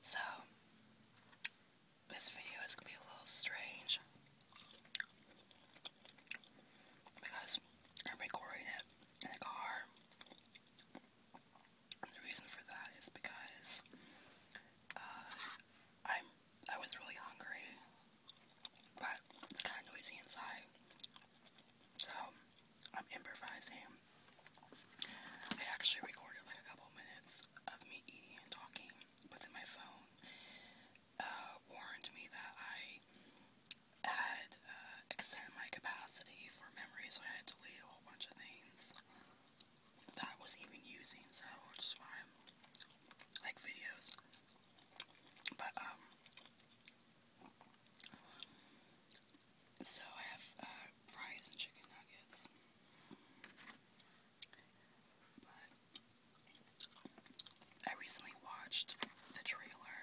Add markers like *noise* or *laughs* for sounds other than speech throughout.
So, this video is going to be a little strange because I'm recording it in the car. the reason for that is because uh, I'm I was really hungry, but it's kind of noisy inside, so I'm improvising. I actually recorded like a couple minutes of me eating and talking, but then my phone uh, warned me that I had uh, extended my capacity for memory, so I had to delete a whole bunch of things that I was even using, so which is like videos. But, um, so I have uh, fries and chicken nuggets. But I recently watched the trailer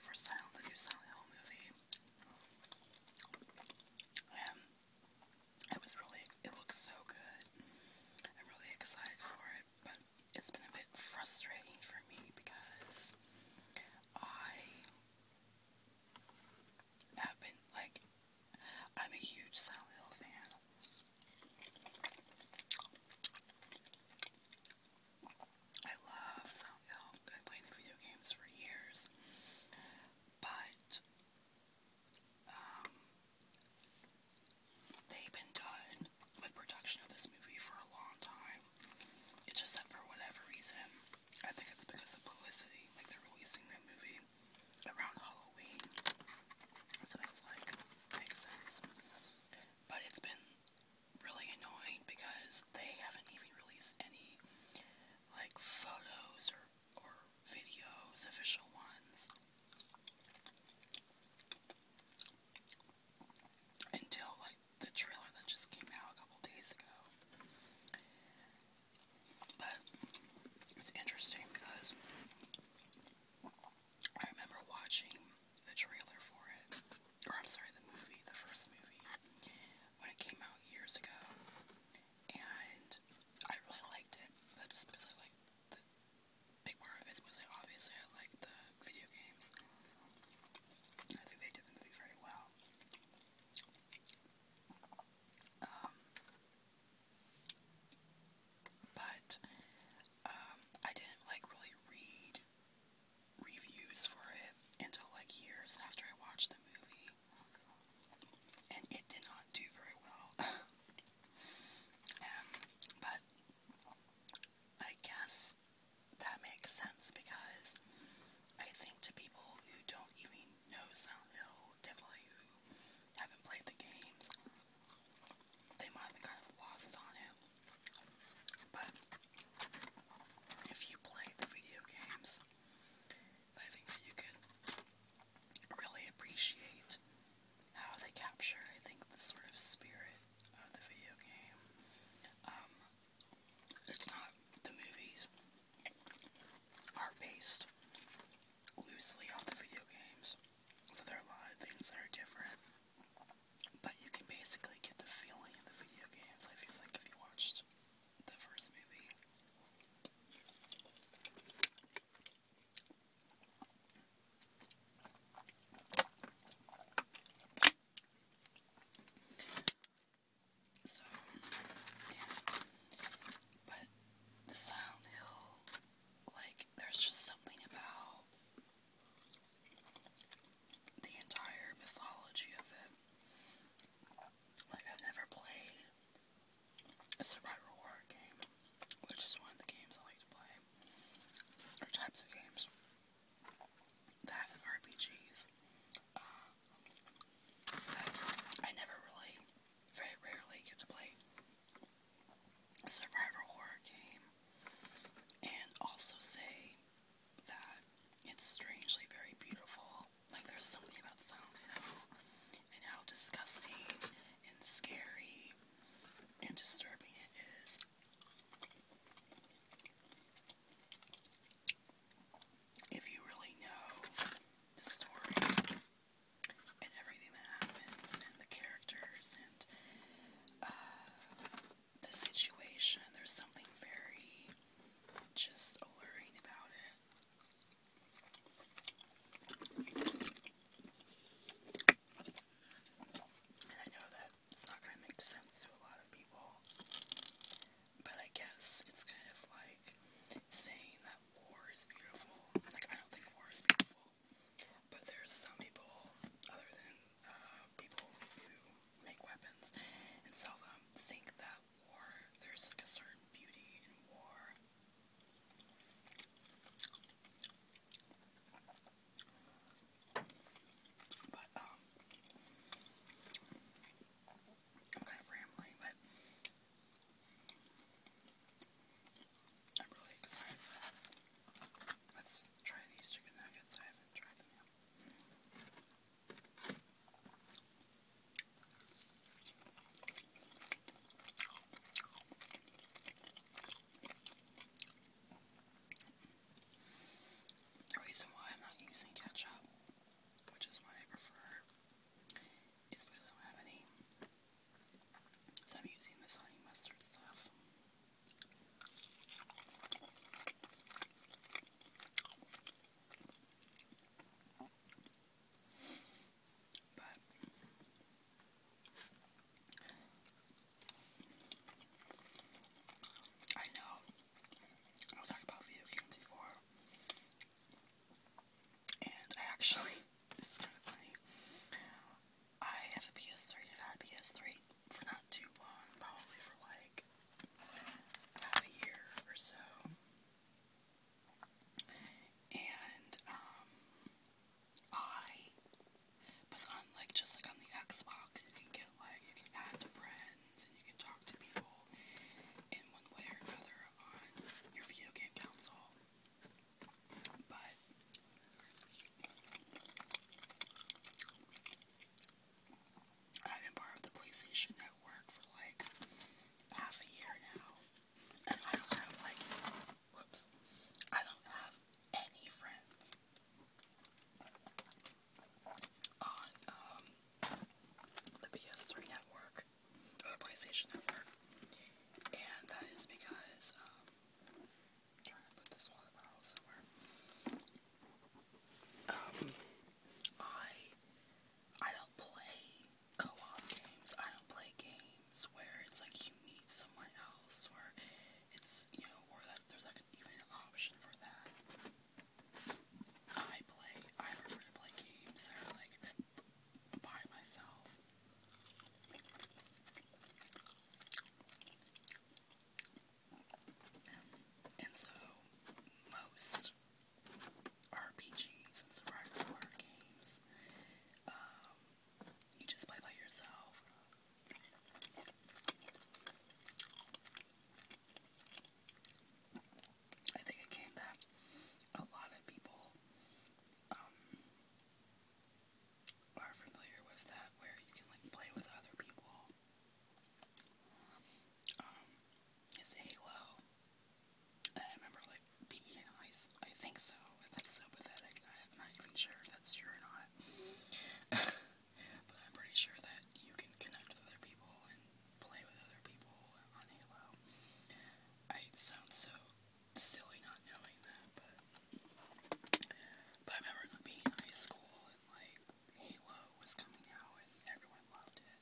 for the new Silent Hill movie. And it was really, it looks so good. I'm really excited for it, but it's been a bit frustrating for me because I I've been like, I'm a huge Silent Hill fan. I love Silent Hill. I've the video games for years, but um, they've been done with production of this movie for a long time. It's just for whatever reason, I think it's because of publicity. Like they're releasing that movie around Halloween. So it's like makes sense. But it's been really annoying because they haven't even released any like photos or or videos, official ones. Until like the trailer that just came out a couple days ago. But it's interesting because I remember watching the trailer for it, or I'm sorry, the movie, the first movie, when it came out years ago, and I really liked it. That's because I like the big part of it was like obviously I like the video games. I think they did the movie very well. Um, but um, I didn't like really read reviews for it until like years after I watched the movie, and it did not do very well. *laughs* Um, but I guess that makes sense because I think to people who don't even know Silent Hill, definitely who haven't played the games, they might be kind of lost on it. But if you play the video games, I think that you can really appreciate how they capture, I think, the sort of spirit of the video game. Um, it's not the movies are based loosely on the video games, so there are a lot of things that are different. But you can basically get the feeling of the video games. I feel like if you watched the first movie, so, and, but the Silent Hill, like, there's just something about the entire mythology of it. Like, I've never played a survival horror game, which is one of the games I like to play types of games that RPGs uh, that I never really, very rarely get to play. survivor horror game, and also say that it's strangely very beautiful. Like there's something about sound and how disgusting and scary and disturbing it is. If you really know the story and everything that happens and the characters and uh, the situation, there's something very just alluring about it. And I know that it's not going to make sense to a lot of people, but I guess it's kind of like saying that war is beautiful. Like, I don't think war is beautiful, but there's some people, other than uh, people who make weapons and sell them, think that war, there's like a certain beauty in war, but, um, I'm kind of rambling, but I'm really excited Let's try these chicken nuggets. I haven't tried them the reason why I'm not using ketchup, which is what I prefer, is because I don't have any. So I'm using this honey mustard stuff. But I know I was talking about video games before, and I actually *laughs* this is kind of funny. I have a PS3. I've had PS3 for not too long, probably for like half a year or so. And um I was on like just like on the Xbox you can get like you can add friends and you can talk to people in one way or another on your video game console. But I've been part of the PlayStation Network for like half a year now, and I don't have like, whoops, I don't have any friends on um the PS3 network the PlayStation network, and that is because Um, I I don't play co-op games. I don't play games where it's like you meet someone else or it's, you know, or that there's like an option for that. I play, I prefer to play games that are like by myself. And so, most RPGs and survival horror games. Um, you just play by yourself. I think it came that a lot of people um, are familiar with that, where you can like play with other people. Um, is Halo. I remember like being ice. I think so. That's so pathetic. I'm not even sure if that's true or not. *laughs* but I'm pretty sure that you can connect with other people and play with other people on Halo. I sound so silly not knowing that, but but I remember being in high school and like Halo was coming out and everyone loved it.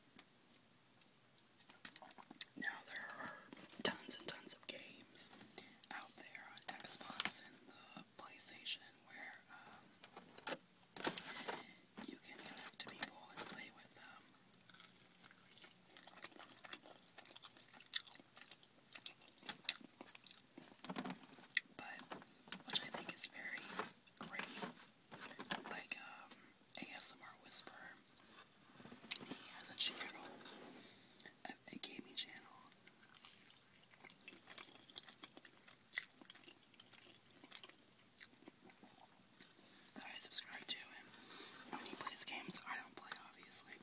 Now there are tons and tons of games out there on Xbox and the PlayStation where um, you can connect to people and play with them. But which I think is very great like um, ASMR Whisper, He has a channel, a, gaming channel. That subscribe to him. he plays games I don't play, obviously.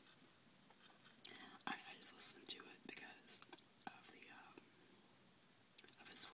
I, just listen to it because of the um, of his